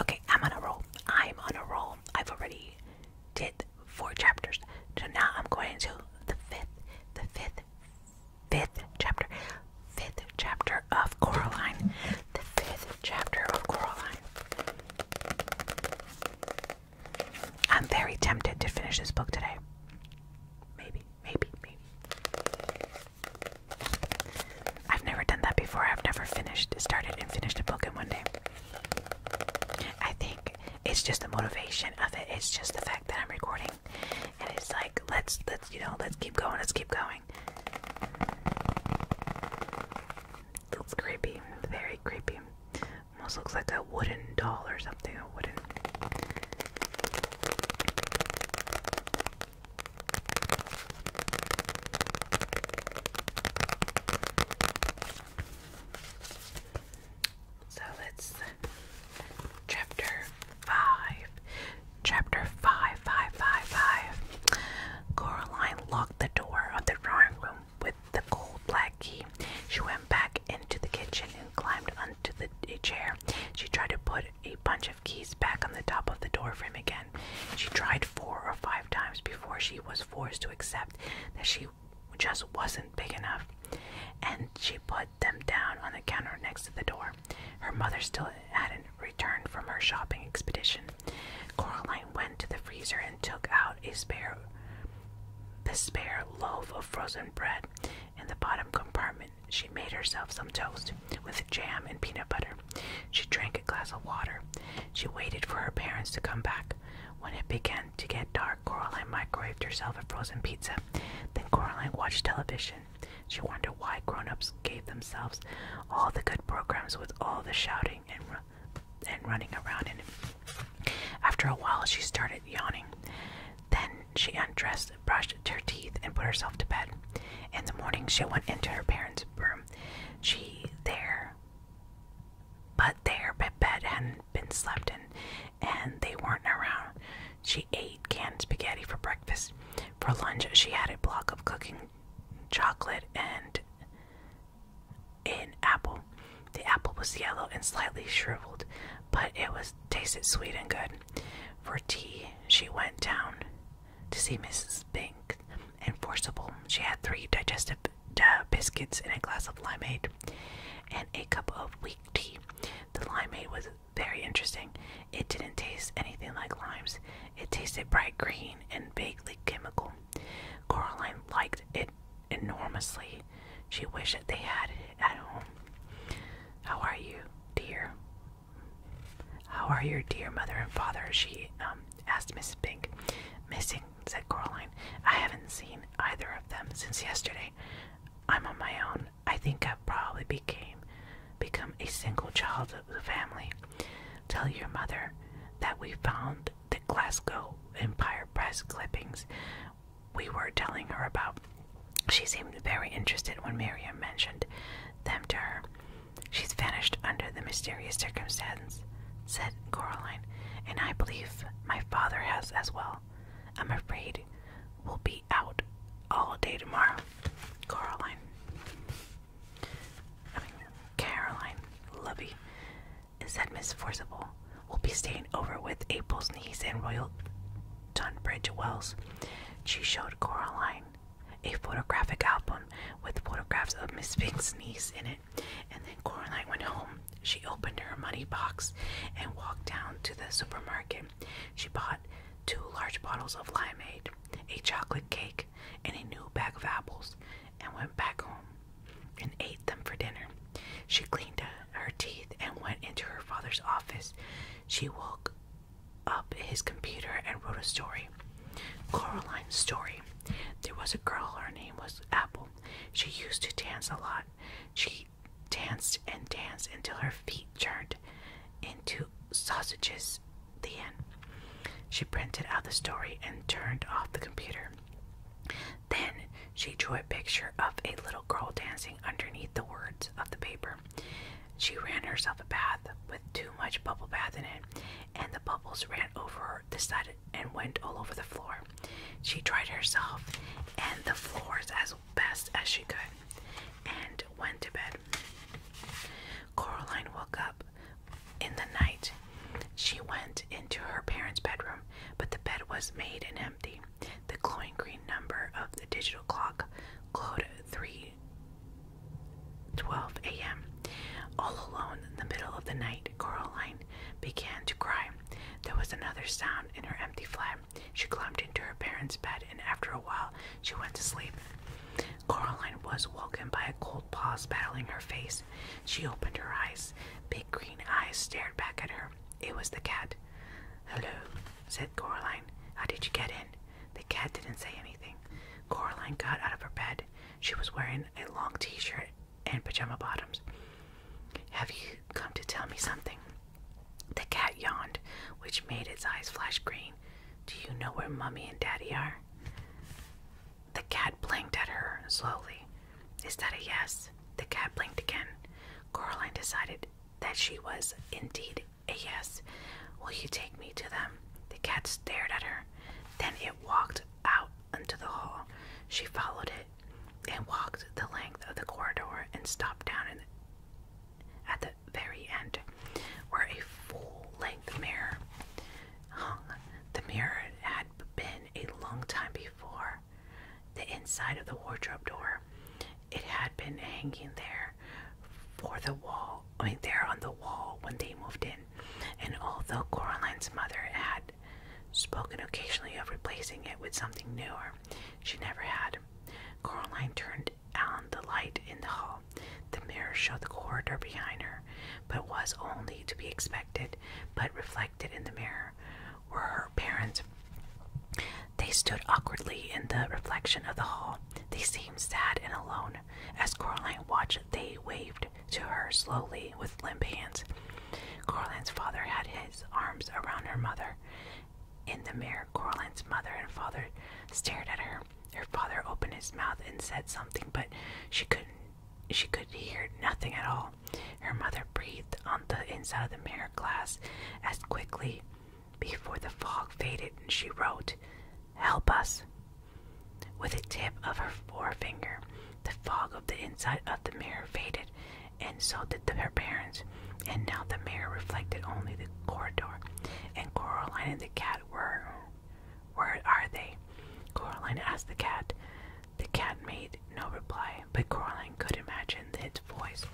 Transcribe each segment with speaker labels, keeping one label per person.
Speaker 1: Okay, I'm on a roll. I'm on a roll. I've already did four chapters. So now I'm going to the fifth, the fifth, fifth chapter. Fifth chapter of Coraline. The fifth chapter of Coraline. I'm very tempted to finish this book today. Maybe. Maybe, maybe. I've never done that before. I've never finished, started and finished a book in one day. I think it's just the motivation of it. It's just the fact that I'm recording, and it's like let's let's you know let's keep going. Let's keep going. Looks creepy, very creepy. Almost looks like a wooden doll or something no wooden. So let's chapter five. Chapter five, five, five, five. Coraline locked the door of the drawing room with the gold black key. She went back into the kitchen and climbed onto the, a chair. She tried to put a bunch of keys back on the top of the doorframe again. She tried four or five times before she was forced to accept that she just wasn't big enough, and she put them down on the counter next to the door. Her mother still hadn't returned from her shopping expedition. Coraline went to the freezer and took out a spare the spare loaf of frozen bread. In the bottom compartment, she made herself some toast with jam and peanut butter. She drank a glass of water. She waited for her parents to come back. When it began to get dark, Coraline microwaved herself a frozen pizza. Then Coraline watched television. She wondered why grown-ups gave themselves all the good programs with all the shouting and and running around in After a while, she started yawning. Then she undressed, brushed her teeth, and put herself to bed. In the morning, she went into her parents' room. She there, but their bed had been slept in, and they weren't around. She ate canned spaghetti for breakfast. For lunch, she had a block of cooking chocolate and an apple. The apple was yellow and slightly shriveled, but it was tasted sweet and good. For tea, she went down to see Mrs. Bink and Forcible. She had three digestive biscuits and a glass of limeade and a cup of weak tea. The limeade was very interesting. It didn't taste anything like limes. It tasted bright green and vaguely chemical. Coraline liked it enormously she wished that they had it at home. How are you, dear? How are your dear mother and father? She um, asked Mrs. Pink. Missing, said Coraline. I haven't seen either of them since yesterday. I'm on my own. I think I have probably became become a single child of the family. Tell your mother that we found the Glasgow Empire Press clippings we were telling her about. She seemed very interested when Miriam mentioned them to her. She's vanished under the mysterious circumstance, said Caroline. and I believe my father has as well. I'm afraid we'll be out all day tomorrow. Caroline. Caroline, lovey, said Miss Forcible. We'll be staying over with April's niece and Royal Tunbridge Wells, she showed Coraline a photographic album with photographs of Miss Pink's niece in it. And then Coraline went home. She opened her money box and walked down to the supermarket. She bought two large bottles of limeade, a chocolate cake, and a new bag of apples, and went back home and ate them for dinner. She cleaned her teeth and went into her father's office. She woke up his computer and wrote a story. Coraline's story. There was a girl, her name was Apple. She used to dance a lot. She danced and danced until her feet turned into sausages. The end. She printed out the story and turned off the computer. Then she drew a picture of a little girl dancing underneath the words of the paper. She ran herself a bath with too much bubble bath in it, and the bubbles ran over the side and went all over the floor. She dried herself and the floors as best as she could and went to bed. Coraline woke up in the night. She went into her parents' bedroom, but the bed was made and empty. The coin green number of the digital clock glowed 3:12 a.m. All alone in the middle of the night, Coraline began to cry. There was another sound in her empty flat. She climbed into her parents' bed, and after a while, she went to sleep. Coraline was woken by a cold pause battling her face. She opened her eyes. Big green eyes stared back at her. It was the cat. Hello, said Coraline. How did you get in? The cat didn't say anything. Coraline got out of her bed. She was wearing a long t shirt and pajama bottoms. Have you come to tell me something? The cat yawned, which made its eyes flash green. Do you know where Mummy and Daddy are? The cat blinked at her slowly. Is that a yes? The cat blinked again. Coraline decided that she was indeed a yes. Will you take me to them? The cat stared at her. Then it walked out into the hall. She followed it and walked the length of the corridor and stopped down at the very end, where a full length mirror hung. The mirror had been a long time before the inside of the wardrobe door. It had been hanging there for the wall, I mean, there on the wall when they moved in. And although Coraline's mother had spoken occasionally of replacing it with something newer, she never had. Coraline turned on the light in the hall. The mirror showed the corridor behind her, but was only to be expected, but reflected in the mirror were her parents. They stood awkwardly in the reflection of the hall. They seemed sad and alone. As Coraline watched, they waved to her slowly with limp hands. Coraline's father had his arms around her mother. In the mirror, Coraline's mother and father stared at her. Her father opened his mouth and said something, but she couldn't she could hear nothing at all. Her mother breathed on the inside of the mirror glass as quickly before the fog faded, and she wrote, Help us. With the tip of her forefinger, the fog of the inside of the mirror faded, and so did the, her parents. And now the mirror reflected only the corridor, and Coraline and the cat were. Where are they? Coraline asked the cat. The cat made no reply, but Coraline could imagine its voice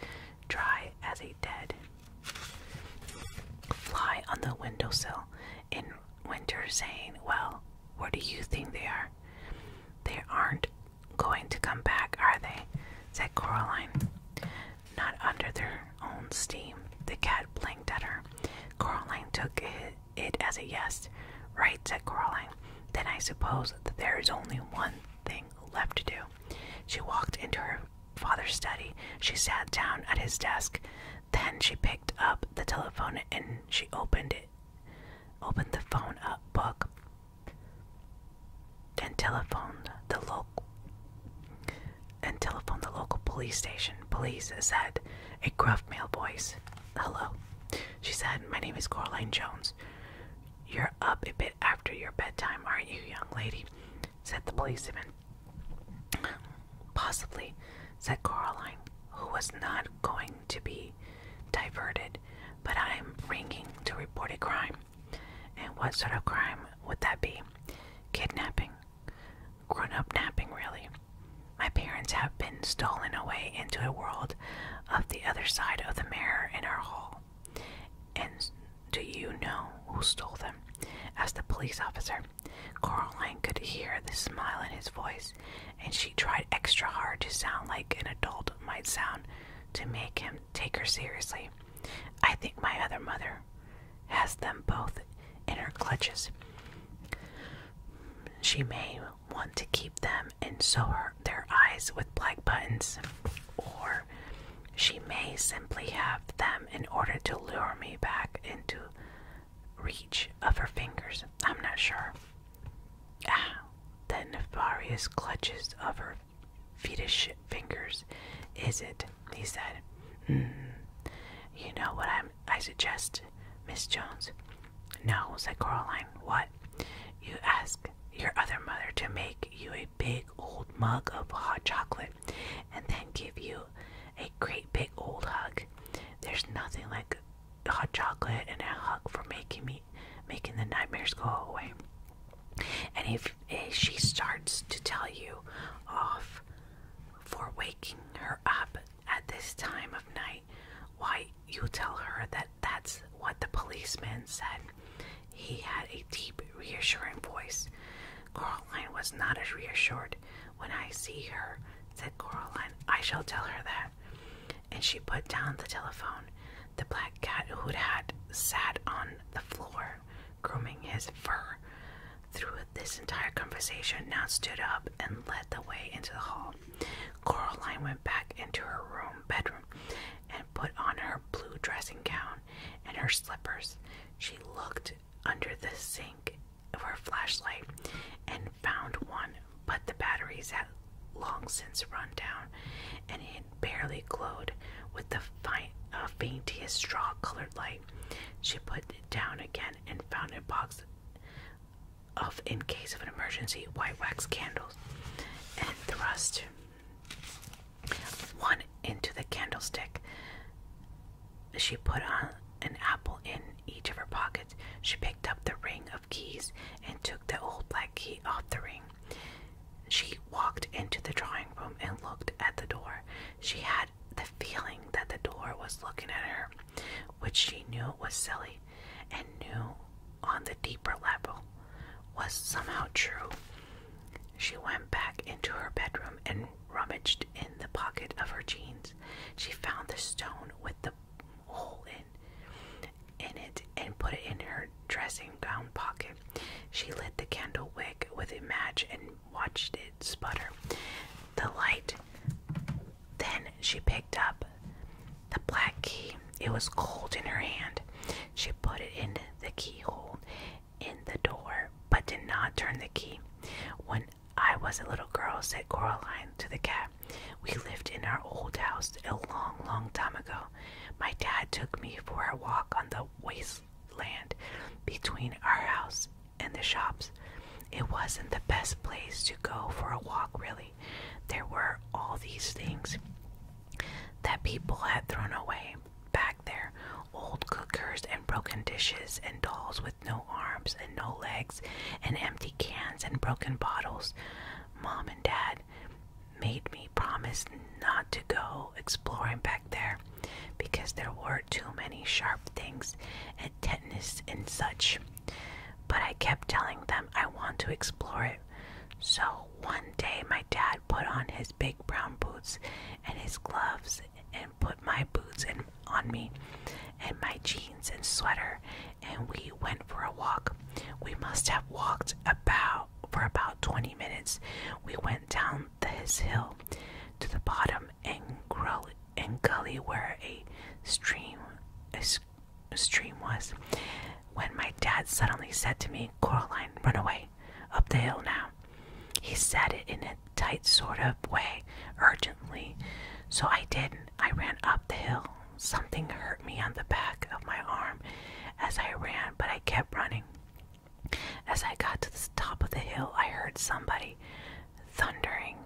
Speaker 1: dry as a dead fly on the windowsill in winter, saying, Well, where do you think they are? They aren't going to come back, are they? said Coraline. Not under their own steam. The cat blinked at her. Coraline took it, as a yes. Right, said Coraline. Then I suppose that there is only one thing left to do. She walked into her father's study. She sat down at his desk. Then she picked up the telephone and she opened it. Opened the phone up book and telephoned the local and telephoned the local police station. Police said a gruff male voice. Hello. She said, My name is Coraline Jones. You're up a bit after your bedtime, aren't you, young lady? said the policeman. Possibly, said Caroline, who was not going to be diverted, but I am ringing to report a crime. And what sort of crime would that be? Kidnapping. Grown up kidnapping, really. My parents have been stolen away into a world of the other side of the mirror in our hall. And do you know who stole them? asked the police officer. Caroline could hear the smile in his voice, and she tried extra hard to sound like an adult might sound to make him take her seriously. I think my other mother has them both in her clutches. She may want to keep them and sew her, their eyes with black buttons, or she may simply have them in order to lure me back into reach of her fingers. I'm not sure. Ah, the nefarious clutches of her fetish fingers, is it? He said. Hmm. You know what I'm, I suggest, Miss Jones? No, said Coraline. What? You ask your other mother to make you a big old mug of hot chocolate and then give you a great big old hug. There's nothing like hot chocolate and a hug for making me making the nightmares go away. And if, if she starts to tell you off for waking her up at this time of night, why you tell her that that's what the policeman said. He had a deep, reassuring voice. Coraline was not as reassured. When I see her, said Coraline, I shall tell her that. And she put down the telephone. The black cat, who had sat on the floor grooming his fur through this entire conversation, now stood up and led the way into the hall. Coraline went back into her room, bedroom, and put on her blue dressing gown and her slippers. She looked under the sink of her flashlight and found one, but the batteries had long since run down and it barely glowed with the fi uh, faintest straw colored light. She put it down again and found a box of, in case of an emergency, white wax candles and thrust one into the candlestick. She put an apple in each of her pockets. She picked up the ring of keys and took the old black key off the ring. She walked into the drawing room and looked at the door. She had the feeling that the door was looking at her, which she knew was silly and knew on the deeper level was somehow true. She went back into her bedroom and rummaged in the pocket of her jeans. She found the stone with the hole in, in it and put it in her dressing gown pocket. She lit the candle wick with a match and watched it sputter. The light. Then she picked up the black key. It was cold in her hand. She put it in the keyhole in the door, but did not turn the key. When I was a little girl, said Coraline to the cat, we lived in our old house a long, long time ago. My dad took me for a walk on the wasteland between our house and the shops. It wasn't the best place to go for a walk, really. There were all these things that people had thrown away back there old cookers and broken dishes and dolls with no arms and no legs and empty cans and broken bottles. Mom and Dad made me promise not to go exploring back there because there were too many sharp things and tetanus and such. But I kept telling them I want to explore it. So one day, my dad put on his big brown boots and his gloves and put my boots in, on me and my jeans and sweater, and we went for a walk. We must have walked about for about 20 minutes. We went down this hill to the bottom and, gully where a stream is stream was when my dad suddenly said to me, Coraline, run away, up the hill now. He said it in a tight sort of way, urgently. So I did. I ran up the hill. Something hurt me on the back of my arm as I ran, but I kept running. As I got to the top of the hill, I heard somebody thundering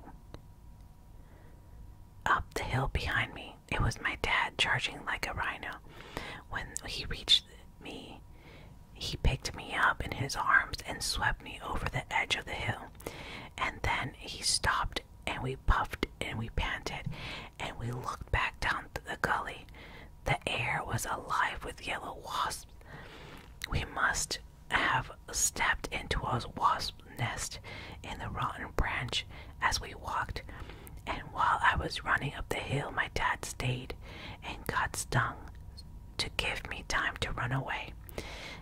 Speaker 1: up the hill behind me. It was my dad charging like a rhino. When he reached me, he picked me up in his arms and swept me over the edge of the hill. And then he stopped, and we puffed and we panted, and we looked back down the gully. The air was alive with yellow wasps. We must have stepped into a wasp's nest in the rotten branch as we walked, and while I was running up the hill, my dad stayed and got stung to give me time to run away.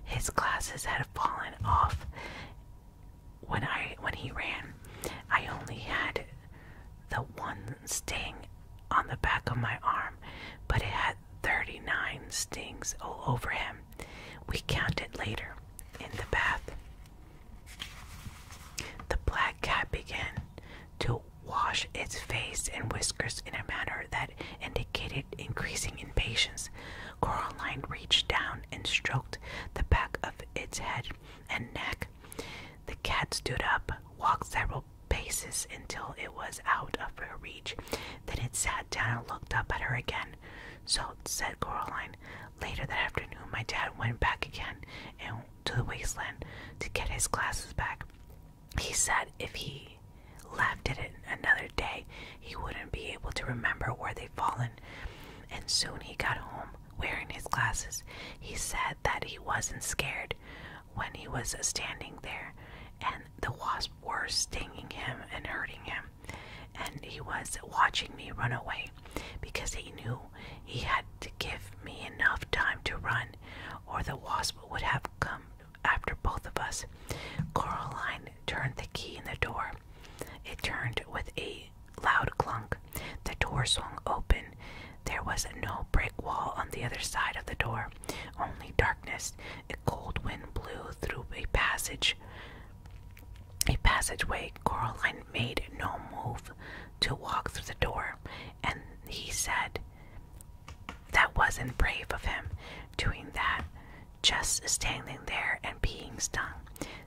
Speaker 1: His glasses had fallen off when I when he ran. I only had the one sting on the back of my arm, but it had 39 stings all over him. We counted later in the bath. The black cat began to wash its face and whiskers in a manner that indicated increasing impatience. Coraline reached down and stroked the back of its head and neck. The cat stood up, walked several paces until it was out of her reach. Then it sat down and looked up at her again. So, said Coraline, Later that afternoon, my dad went back again and to the wasteland to get his glasses back. He said if he left it another day, he wouldn't be able to remember where they'd fallen. And soon he got home wearing his glasses. He said that he wasn't scared when he was standing there, and the wasps were stinging him and hurting him and he was watching me run away because he knew he had to give me enough time to run, or the wasp would have come after both of us. Coraline turned the key in the door. It turned with a loud clunk. The door swung open. There was no brick wall on the other side of the door, only darkness. A cold wind blew through a passage a passageway, Coraline made no move to walk through the door, and he said, That wasn't brave of him doing that, just standing there and being stung,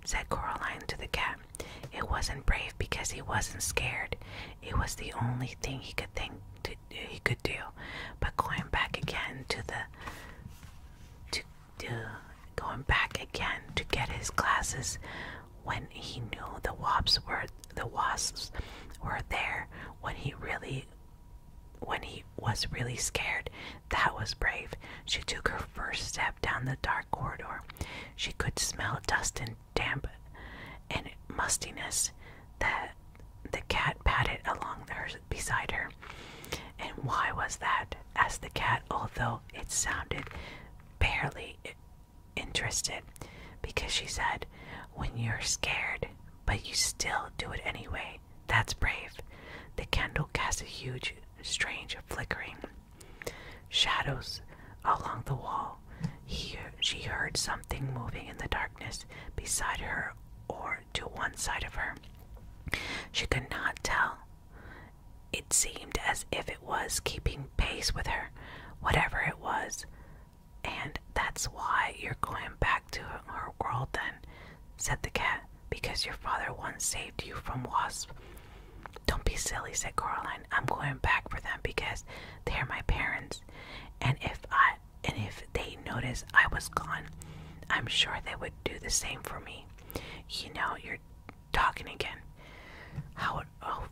Speaker 1: said Coraline to the cat. It wasn't brave because he wasn't scared. It was the only thing he could think to, he could do. But going back again to the to to going back again to get his glasses when he knew the wasps were the wasps were there when he really when he was really scared. That was brave. She took her first step down the dark corridor. She could smell dust and damp and mustiness that the cat patted along her beside her. And why was that? asked the cat, although it sounded barely interested, because she said, When you're scared, but you still do it anyway, that's brave. The candle cast a huge, strange flickering shadows along the wall. He, she heard something moving in the darkness beside her or to one side of her. She could not tell it seemed as if it was keeping pace with her, whatever it was. And that's why you're going back to her world then, said the cat, because your father once saved you from wasps. Don't be silly, said Coraline. I'm going back for them because they're my parents. And if I and if they notice I was gone, I'm sure they would do the same for me. You know, you're." talking again. How,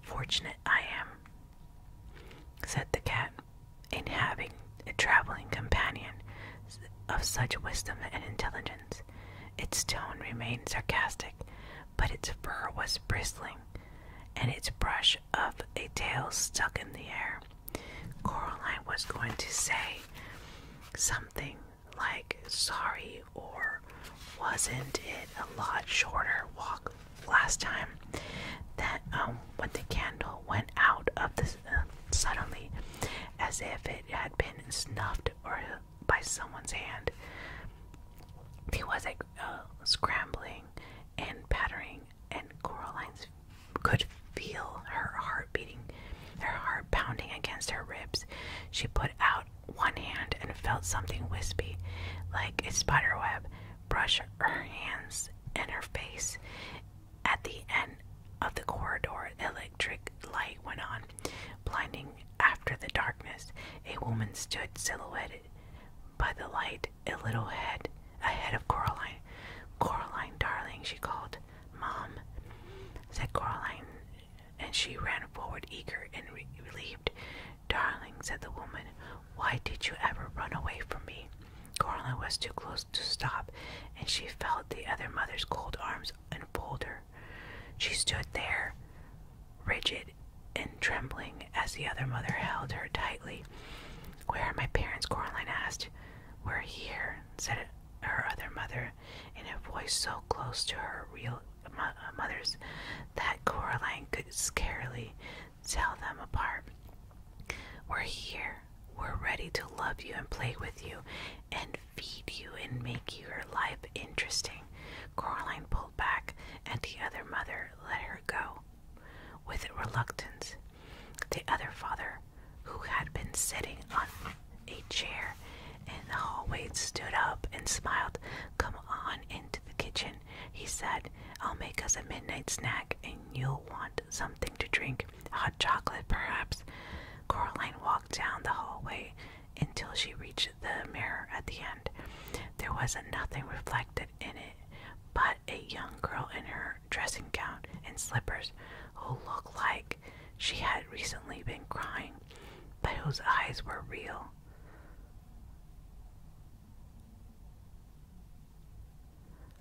Speaker 1: fortunate I am, said the cat, in having a traveling companion of such wisdom and intelligence. Its tone remained sarcastic, but its fur was bristling, and its brush of a tail stuck in the air. Coraline was going to say something like sorry or wasn't it a lot shorter walk last time that um when the candle went out of the uh, suddenly as if it had been snuffed or uh, by someone's hand There was a uh, scrambling and pattering and Coraline's could feel her heart beating, her heart pounding against her ribs. She put out one hand and felt something wispy, like a spiderweb, brush her hands and her face. At the end of the corridor, electric light went on, blinding after the darkness. A woman stood silhouetted by the light, a little head a head of Coraline. Coraline, darling, she called. Mom, said Coraline and she ran forward eager and relieved. Darling, said the woman, why did you ever run away from me? Coraline was too close to stop, and she felt the other mother's cold arms enfold her. She stood there, rigid and trembling, as the other mother held her tightly. Where are my parents? Coraline asked. We're here, said her other mother, her in a voice so close to her real uh, mother's that Coraline could scarcely tell them apart. We're here. We're ready to love you and play with you and feed you and make your life interesting. Coraline pulled back, and the other mother let her go with reluctance. The other father, who had been sitting on a chair in the hallway, stood up, and smiled. Come on into the kitchen, he said. I'll make us a midnight snack, and you'll want something to drink. Hot chocolate, perhaps. Coraline walked down the hallway until she reached the mirror at the end. There was nothing reflected in it but a young girl in her dressing gown and slippers who looked like she had recently been crying but whose eyes were real.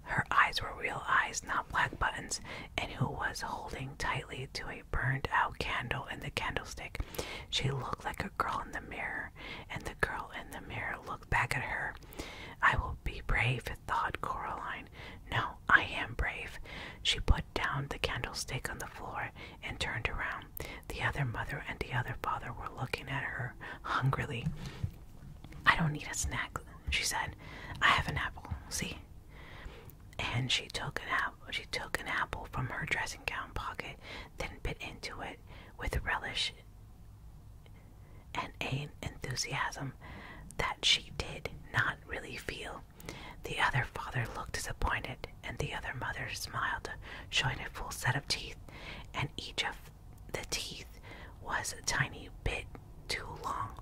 Speaker 1: Her eyes were real eyes, not black buttons, and who was holding tightly to a burned out candle in the candlestick. She looked like a girl in the mirror, and the girl in the mirror looked back at her. I will be brave, thought Coraline. No, I am brave. She put down the candlestick on the floor and turned around. The other mother and the other father were looking at her hungrily. I don't need a snack, she said. I have an apple, see? And she took an apple she took an apple from her dressing gown pocket, then bit into it with relish and an enthusiasm that she did not really feel. The other father looked disappointed, and the other mother smiled, showing a full set of teeth, and each of the teeth was a tiny bit too long.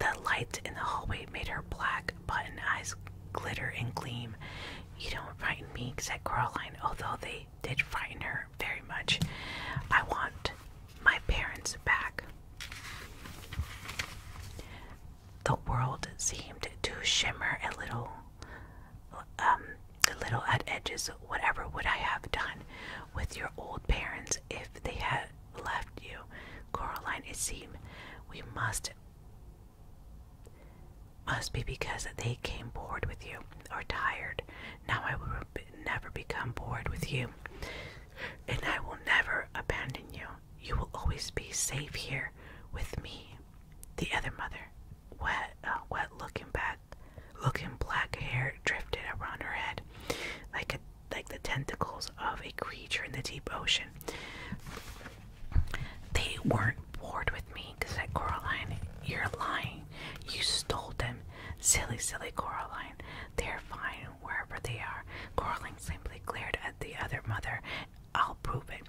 Speaker 1: The light in the hallway made her black button eyes glitter and gleam. You don't frighten me, said Caroline, although they did frighten her very much. I want my parents back. The world seemed to shimmer a little, um, a little at edges. Whatever would I have done with your old parents if they had left you, Coraline? It seemed we must must be because they came bored with you or tired. Now I will never become bored with you and I will never abandon you. You will always be safe here with me. The other mother, wet, uh, wet looking back, looking black hair drifted around her head, like like the tentacles of a creature in the deep ocean. They weren't bored with me, said Coraline. You're lying. You stole them, silly, silly Coraline. They're fine wherever they are. Quarreling simply glared at the other mother. I'll prove it,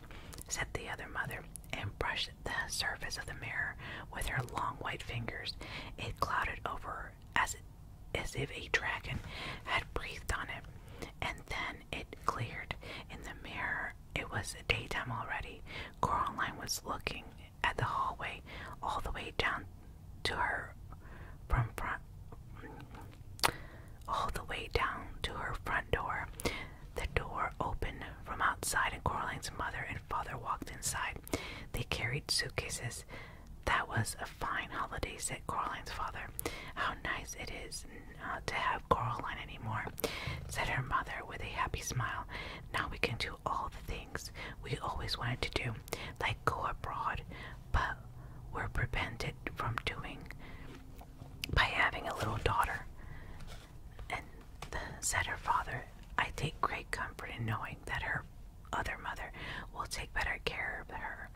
Speaker 1: said the other mother, and brushed the surface of the mirror with her long white fingers. It clouded over as, as if a dragon had breathed on it, and then it cleared. In the mirror, it was daytime already. Coraline was looking at the hallway all the way down to her from front all the way down to her front door. The door opened from outside, and Coraline's mother and father walked inside. They carried suitcases. That was a fine holiday, said Coraline's father. How nice it is not to have Coraline anymore, said her mother with a happy smile. Now we can do all the things we always wanted to do them, like go abroad, but were prevented from doing by having a little daughter. And said her father, I take great comfort in knowing that her other mother will take better care of her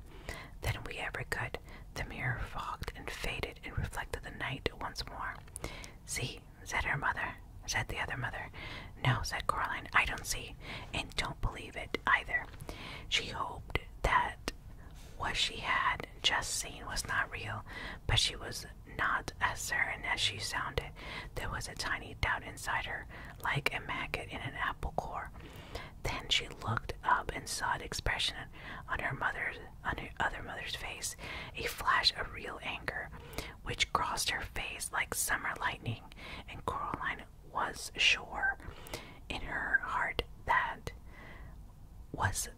Speaker 1: than we ever could. The mirror fogged and faded and reflected the night once more. See, said her mother, said the other mother. No, said Coraline, I don't see, and don't believe it either. She hoped that what she had just seen was not real, but she was not as certain as she sounded. There was a tiny doubt inside her, like a maggot in an apple core. Then she looked up and saw an expression on her mother's on her other mother's face, a flash of real anger, which crossed her face like summer lightning, and Coraline was sure in her heart that was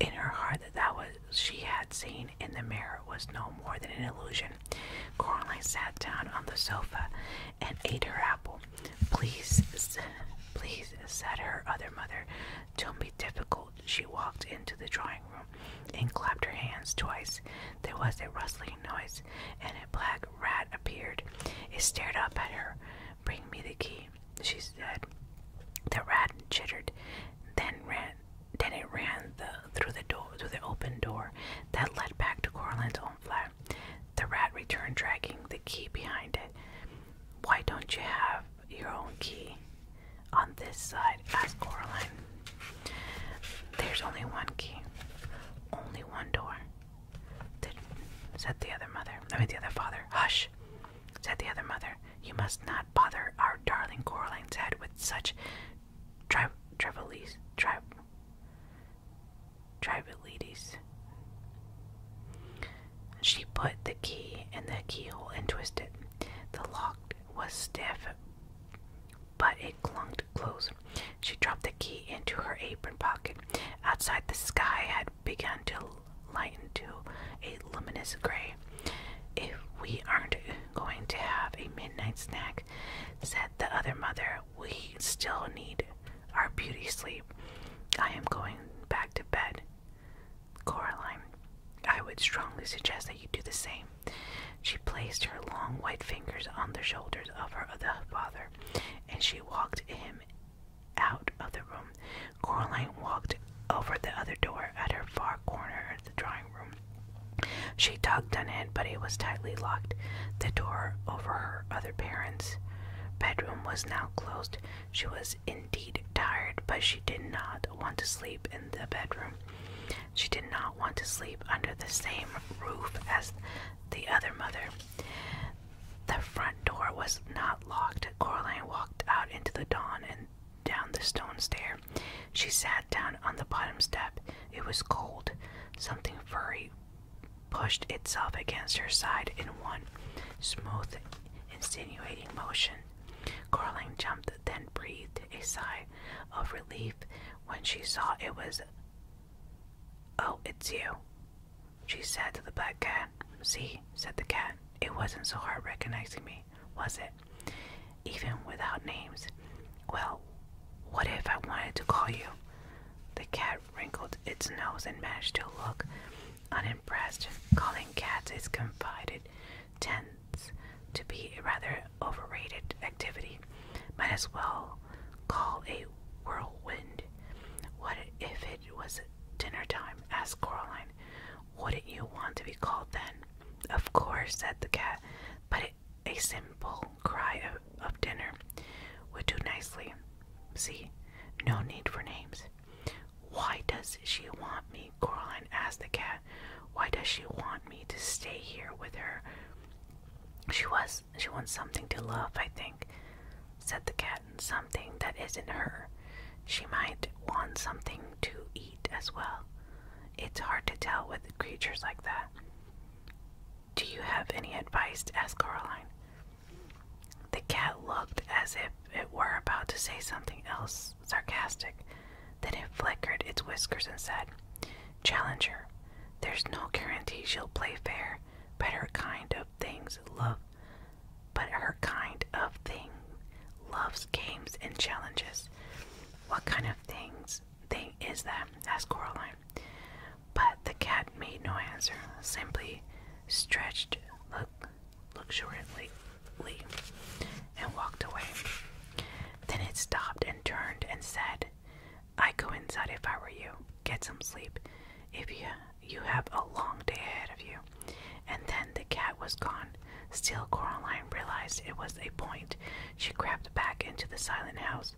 Speaker 1: in her heart that that was she had seen in the mirror was no more than an illusion. Coraline sat down on the sofa and ate her apple. Please, please, said her other mother, don't be difficult. She walked into the drawing room and clapped her hands twice. There was a rustling noise and a black rat appeared. It stared up at her. Bring me the key, she said. The rat chittered, then ran. Then it ran through the door, through the open door that led back to Coraline's own flat. The rat returned, dragging the key behind it. Why don't you have your own key on this side? asked Coraline. There's only one key, only one door. Said the other mother, I mean the other father. Hush, said the other mother. You must not bother our darling Coraline's head with such tri trivialities. She put the key in the keyhole and twisted. The lock was stiff, but it clunked close. She dropped the key into her apron pocket. Outside, the sky had begun to lighten to a luminous gray. If we aren't going to have a midnight snack, said the other mother, we still need our beauty sleep. I am going back to bed. Coraline, I would strongly suggest that you do the same. She placed her long white fingers on the shoulders of her other father, and she walked him out of the room. Coraline walked over the other door at her far corner of the drawing room. She tugged on it, but it was tightly locked. The door over her other parents' bedroom was now closed. She was indeed tired, but she did not want to sleep in the bedroom. She did not want to sleep under the same roof as the other mother. The front door was not locked. Coraline walked out into the dawn and down the stone stair. She sat down on the bottom step. It was cold. Something furry pushed itself against her side in one smooth, insinuating motion. Coraline jumped, then breathed a sigh of relief when she saw it was. Oh, it's you, she said to the black cat. See, said the cat, it wasn't so hard recognizing me, was it? Even without names. Well, what if I wanted to call you? The cat wrinkled its nose and managed to look unimpressed. Calling cats it confided tends to be rather overrated activity. Might as well call a whirlwind. What if it was dinner time? asked Coraline. Wouldn't you want to be called then? Of course, said the cat, but a simple cry of, of dinner would do nicely. See, no need for names. Why does she want me? Coraline asked the cat. Why does she want me to stay here with her she was she wants something to love, I think, said the cat, something that isn't her. She might want something to eat as well. It's hard to tell with creatures like that. Do you have any advice? asked Caroline. The cat looked as if it were about to say something else sarcastic, then it flickered its whiskers and said, Challenger, there's no guarantee she'll play fair, but her kind of things love but her kind of thing loves games and challenges. What kind of things thing is that? asked Coraline. But the cat made no answer, simply stretched luxuriantly and walked away. Then it stopped and turned and said, I would go inside if I were you. Get some sleep if you you have a long day ahead of you. And then the cat was gone. Still, Coraline realized it was a point. She crept back into the silent house,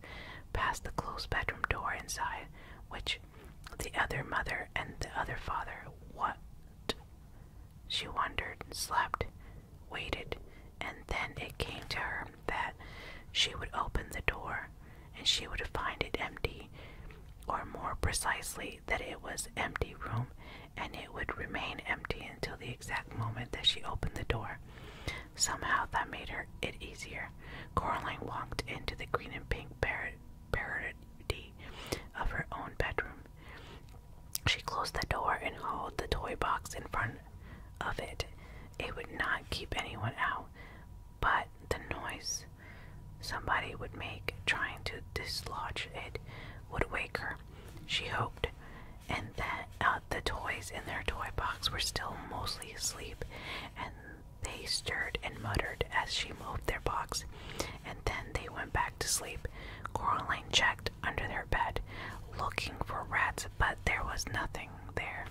Speaker 1: past the closed bedroom door inside, which the other mother and the other father, what? She wondered, slept, waited, and then it came to her that she would open the door and she would find it empty, or more precisely, that it was empty room and it would remain empty until the exact moment that she opened the door. Somehow that made her it easier. Coraline walked into the green and pink parody of her own bedroom. She closed the door and held the toy box in front of it. It would not keep anyone out, but the noise somebody would make trying to dislodge it would wake her, she hoped, and that uh, the toys in their toy box were still mostly asleep, and they stirred and muttered as she moved their box, and then they went back to sleep. Coraline checked under their bed, looking for rats, but there was nothing there.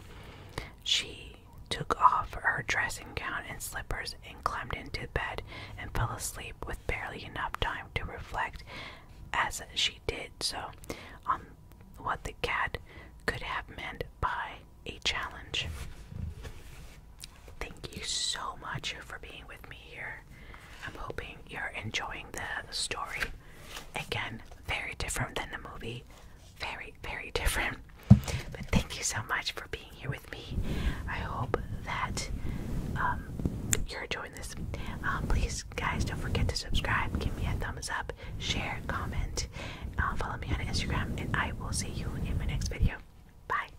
Speaker 1: She took off her dressing gown and slippers and climbed into bed and fell asleep with barely enough time to reflect as she did so on what the cat could have meant by a challenge. Thank you so much for being with me here. I'm hoping you're enjoying the story. Again, very different than the movie. Very, very different. But thank you so much for being here with me. I hope that um, you're enjoying this. Uh, please, guys, don't forget to subscribe. Give me a thumbs up, share, comment, uh, follow me on Instagram, and I will see you in my next video. Bye.